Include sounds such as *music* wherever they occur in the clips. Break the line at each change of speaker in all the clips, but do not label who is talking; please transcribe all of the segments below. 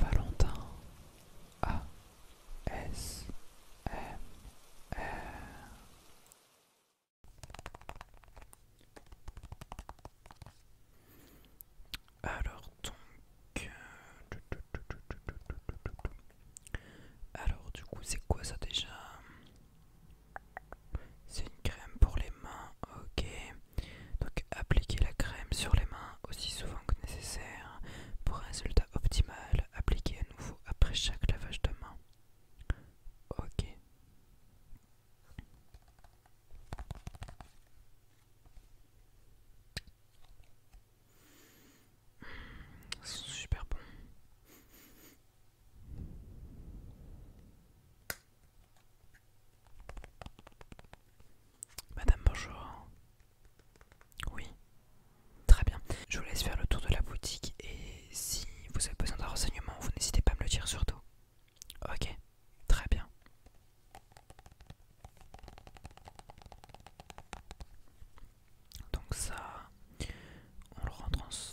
Valentin A S M Alors donc Alors du coup c'est quoi ça déjà c'est une crème pour les mains, ok. Donc appliquez la crème sur les mains aussi souvent que nécessaire pour un résultat optimal. Appliquez à nouveau après chaque lavage de main. Ok. super bon. Madame, bonjour. Oui. Très bien. Je vous laisse faire le tour de la boutique et si vous avez besoin d'un renseignement, vous n'hésitez pas à me le dire surtout. Ok. Très bien. Donc ça, on le rentre en...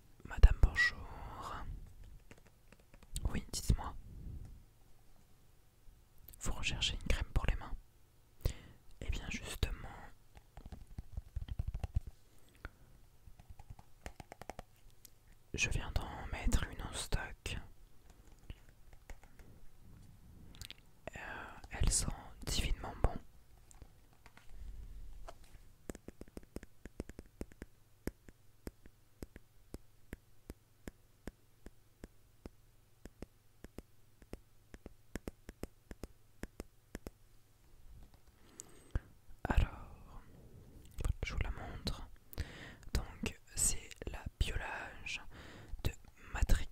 Madame, bonjour. Oui, dites-moi. Vous recherchez une crème pour les mains Eh bien, justement... Je viens d'en mettre une en stock. Euh, elles elle sent divinement bon. Alors, je vous la montre. Donc, c'est la biolage de Matrix.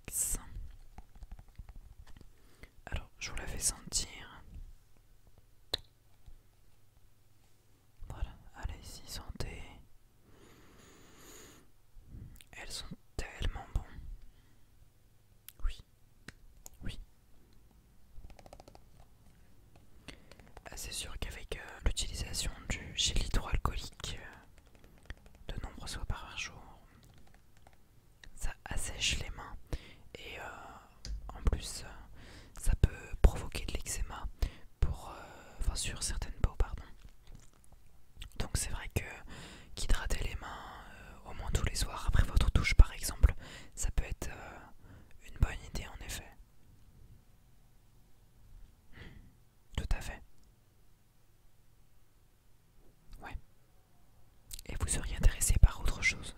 Alors, je vous la fais sentir. Voilà, allez-y, santé. Elles sont tellement bonnes, Oui, oui. Ah, c'est sûr qu'avec euh, l'utilisation du gel hydroalcoolique euh, de nombreuses fois par jour, ça assèche les mains et euh, en plus euh, ça peut provoquer de l'eczéma pour euh, enfin sur certaines peaux pardon donc c'est vrai que qu'hydrater les mains au moins tous les soirs après votre douche par exemple ça peut être une bonne idée en effet tout à fait ouais et vous seriez intéressé par autre chose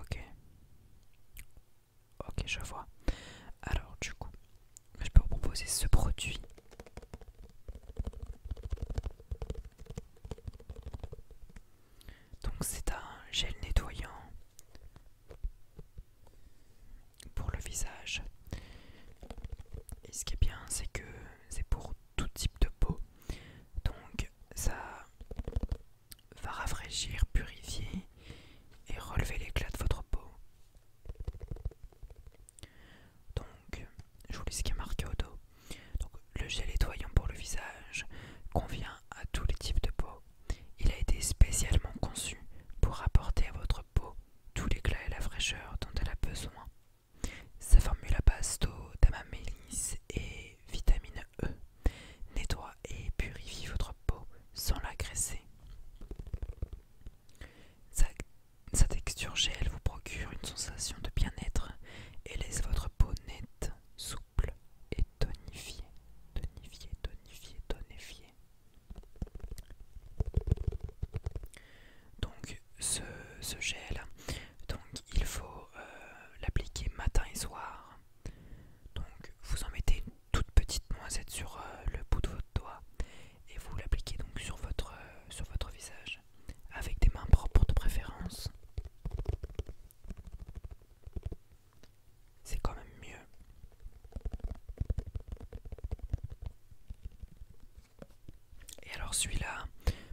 Ok. Ok, je vois. Alors, du coup, je peux vous proposer ce produit. Donc, c'est un gel nettoyant pour le visage. Et ce qui est bien, c'est que c'est pour tout type de peau. Donc ça va rafraîchir, purifier et relever l'éclat de votre peau. Donc, je vous lis ce qui est marqué au dos. Donc, le gel nettoyant pour le visage convient à tous les types de peau. Il a été spécialement conçu pour apporter à votre peau tout l'éclat et la fraîcheur dont elle a besoin. Sa formule à base d'eau, d'amamélis et vitamine E nettoie et purifie votre peau sans l'agresser. Sa, sa texture gel vous procure une sensation de bien-être et laisse votre peau nette, souple et tonifiée. Tonifiée, tonifiée, tonifiée. Donc ce, gel, donc il faut euh, l'appliquer matin et soir. Donc vous en mettez une toute petite noisette sur euh, le bout de votre doigt et vous l'appliquez donc sur votre, euh, sur votre visage avec des mains propres de préférence. C'est quand même mieux et alors celui-là,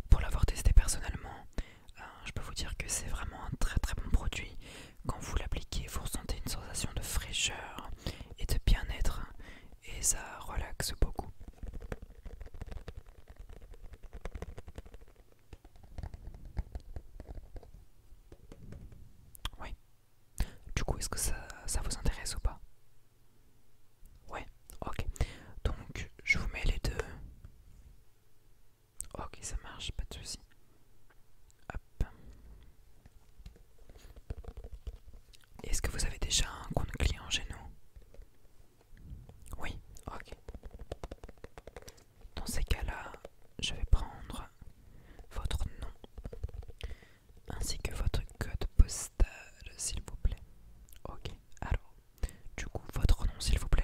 pour l'avoir testé personnellement, euh, je peux vous dire que c'est vraiment un très très bon produit. Quand vous l'appliquez, vous ressentez une sensation de fraîcheur et de bien-être. Et ça relaxe beaucoup. Oui, du coup, est-ce que ça, vous intéresse ou pas Ouais, ok. Donc, je vous mets les deux. Ok, ça marche, pas de soucis. Hop. Est-ce que vous avez déjà un compte client chez nous Oui, ok. Dans ces cas-là, je vais prendre votre nom ainsi que votre code postal, s'il vous plaît. Ok, alors, du coup, votre nom, s'il vous plaît.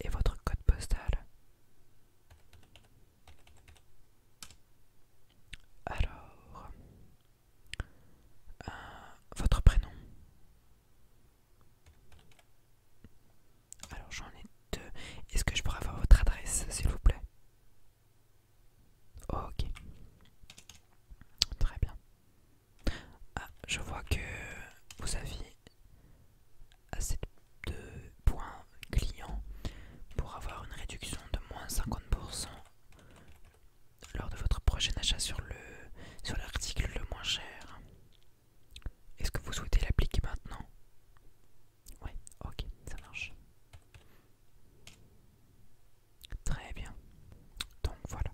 Et votre code postal. Alors, euh, votre prénom. Alors j'en ai deux. Est-ce que je pourrais avoir votre adresse, s'il vous plaît Ok. Très bien. Ah, je vois que vous aviez assez de points clients pour avoir une réduction de moins 50% lors de votre prochain achat sur le sur l'article le moins cher. Est-ce que vous souhaitez l'appliquer maintenant Ouais, ok, ça marche. Très bien. Donc voilà,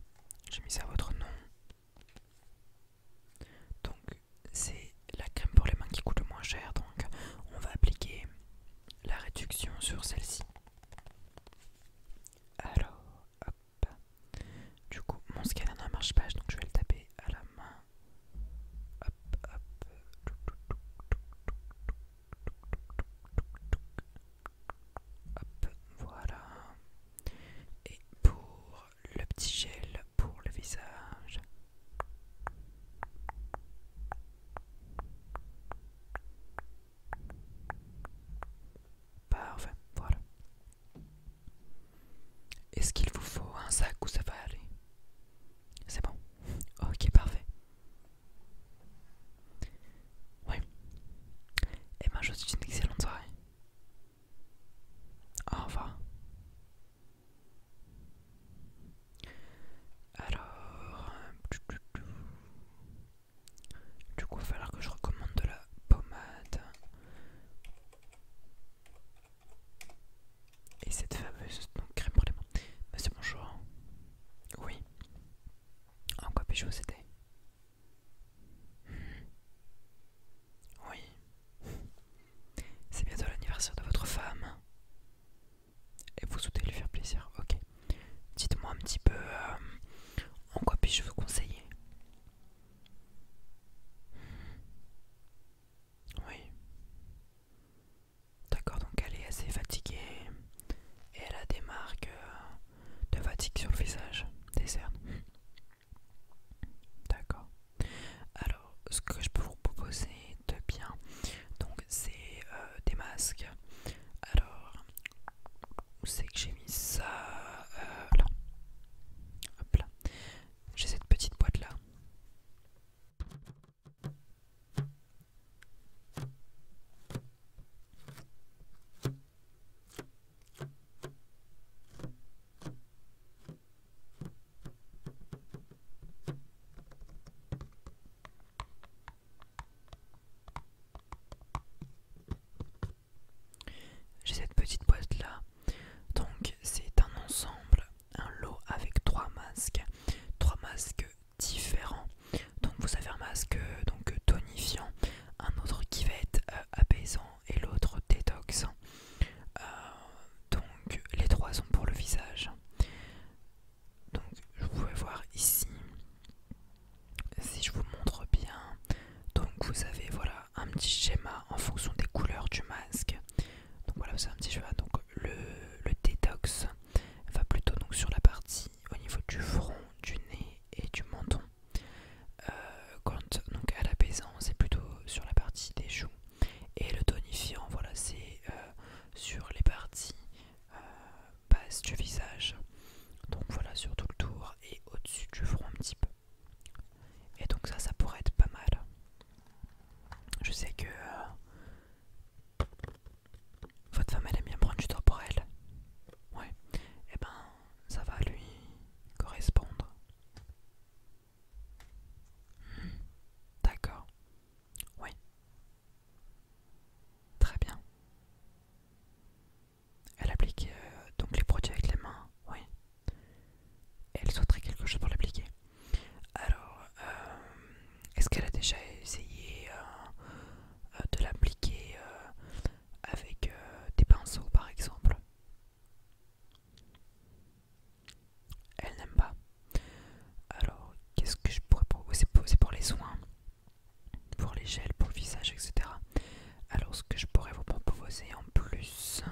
j'ai mis ça à votre nom. Donc c'est la crème pour les mains qui coûte le moins cher, donc on va appliquer la réduction sur celle-ci. Alors, hop. Du coup, mon scanner ne marche pas, donc je vais le taper à la main. Hop, hop. Hop, voilà. Et pour le petit gel pour le visage. Parfait, voilà. Est-ce qu'il vous faut un sac où ça va aller C'est bon. Ok, parfait. Oui. Et ben, je suis une excellente soirée. Au revoir. Alors... Euh, du coup, il va falloir que je recommande de la pommade. Et cette fameuse crème pour les mains. Monsieur, bah, bonjour. Oui. En quoi puis-je vous aider hmm. Oui. C'est bientôt l'anniversaire de votre femme. Et vous souhaitez lui faire plaisir, ok. Dites-moi un petit peu euh, en quoi puis-je vous conseiller Oui. D'accord, donc elle est assez fatiguée et elle a des marques euh, de fatigue sur le visage, des cernes. D'accord. Alors, ce que je peux vous proposer de bien, donc c'est euh, des masques. Alors, où c'est que j'ai mis ça euh, là. J'ai cette petite boîte là. J'ai cette petite boîte là. Donc c'est un ensemble, un lot avec trois masques, trois masques différents. Donc vous avez un masque donc tonifiant, un autre qui va être euh, apaisant et l'autre détoxant. Euh, donc les trois sont pour le visage. Donc vous pouvez voir ici, si je vous montre bien, donc vous avez voilà un petit schéma en fonction des couleurs du masque. Donc voilà c'est un petit schéma. Donc le, détox va plutôt donc sur la partie au niveau du front, du nez et du menton. Euh, quand donc à l'apaisant c'est plutôt sur la partie des joues et le tonifiant voilà c'est euh, sur les parties euh, base du visage. Donc voilà sur tout le tour et au-dessus du front un petit peu. Et donc ça, ça pourrait être pas mal. Je sais que euh, votre femme, elle aime bien prendre du temps pour elle. Ouais. Et eh ben, ça va lui correspondre. Hmm. D'accord. Oui. Très bien. Elle applique euh, donc les produits avec les mains, oui. Elle souhaiterait quelque chose pour l'appliquer. Alors, euh, est-ce qu'elle a déjà essayé euh, de l'appliquer avec des pinceaux par exemple Elle n'aime pas. Alors, qu'est-ce que je pourrais proposer C'est pour, les soins, pour les gels, pour le visage, etc. Alors, ce que je pourrais vous proposer en plus,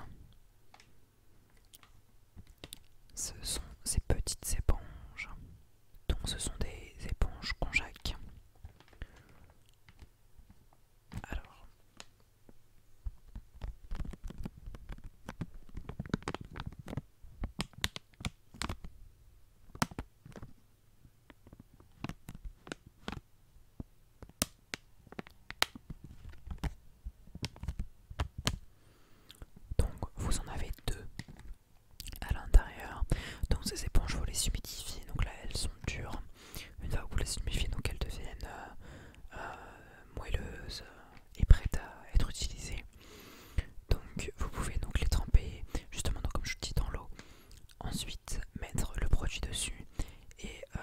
ce sont ces petites éponges. Donc, ce sont des éponges conjaques. Alors, donc vous en avez deux à l'intérieur. Donc ces éponges, vous les humidifiez. Donc là, elles sont dures. Une fois que vous les humidifiez, donc elles deviennent euh, euh, moelleuses et prêtes à être utilisées. Donc vous pouvez donc les tremper justement comme je vous dis dans l'eau. Ensuite mettre le produit dessus et euh,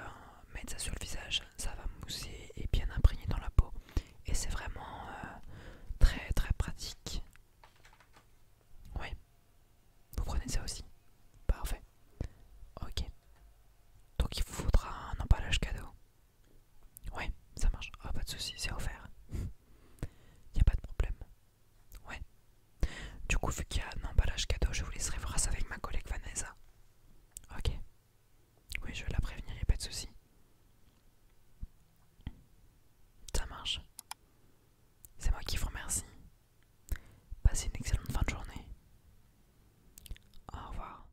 mettre ça sur le visage. Ça va mousser et bien imprégner dans la peau. Et c'est vraiment euh, très très pratique. Oui. Vous prenez ça aussi. Parfait. Ok. Donc il vous faudra un emballage cadeau. Ouais, ça marche. Oh, pas de soucis, c'est offert. n'y *laughs* a pas de problème. Ouais. Du coup, vu qu'il y a un emballage cadeau, je vous laisserai voir ça avec ma collègue Vanessa. Ok. Oui, je vais la prévenir, y a pas de soucis. Ça marche. C'est moi qui vous remercie. Passez une excellente fin de journée. Au revoir.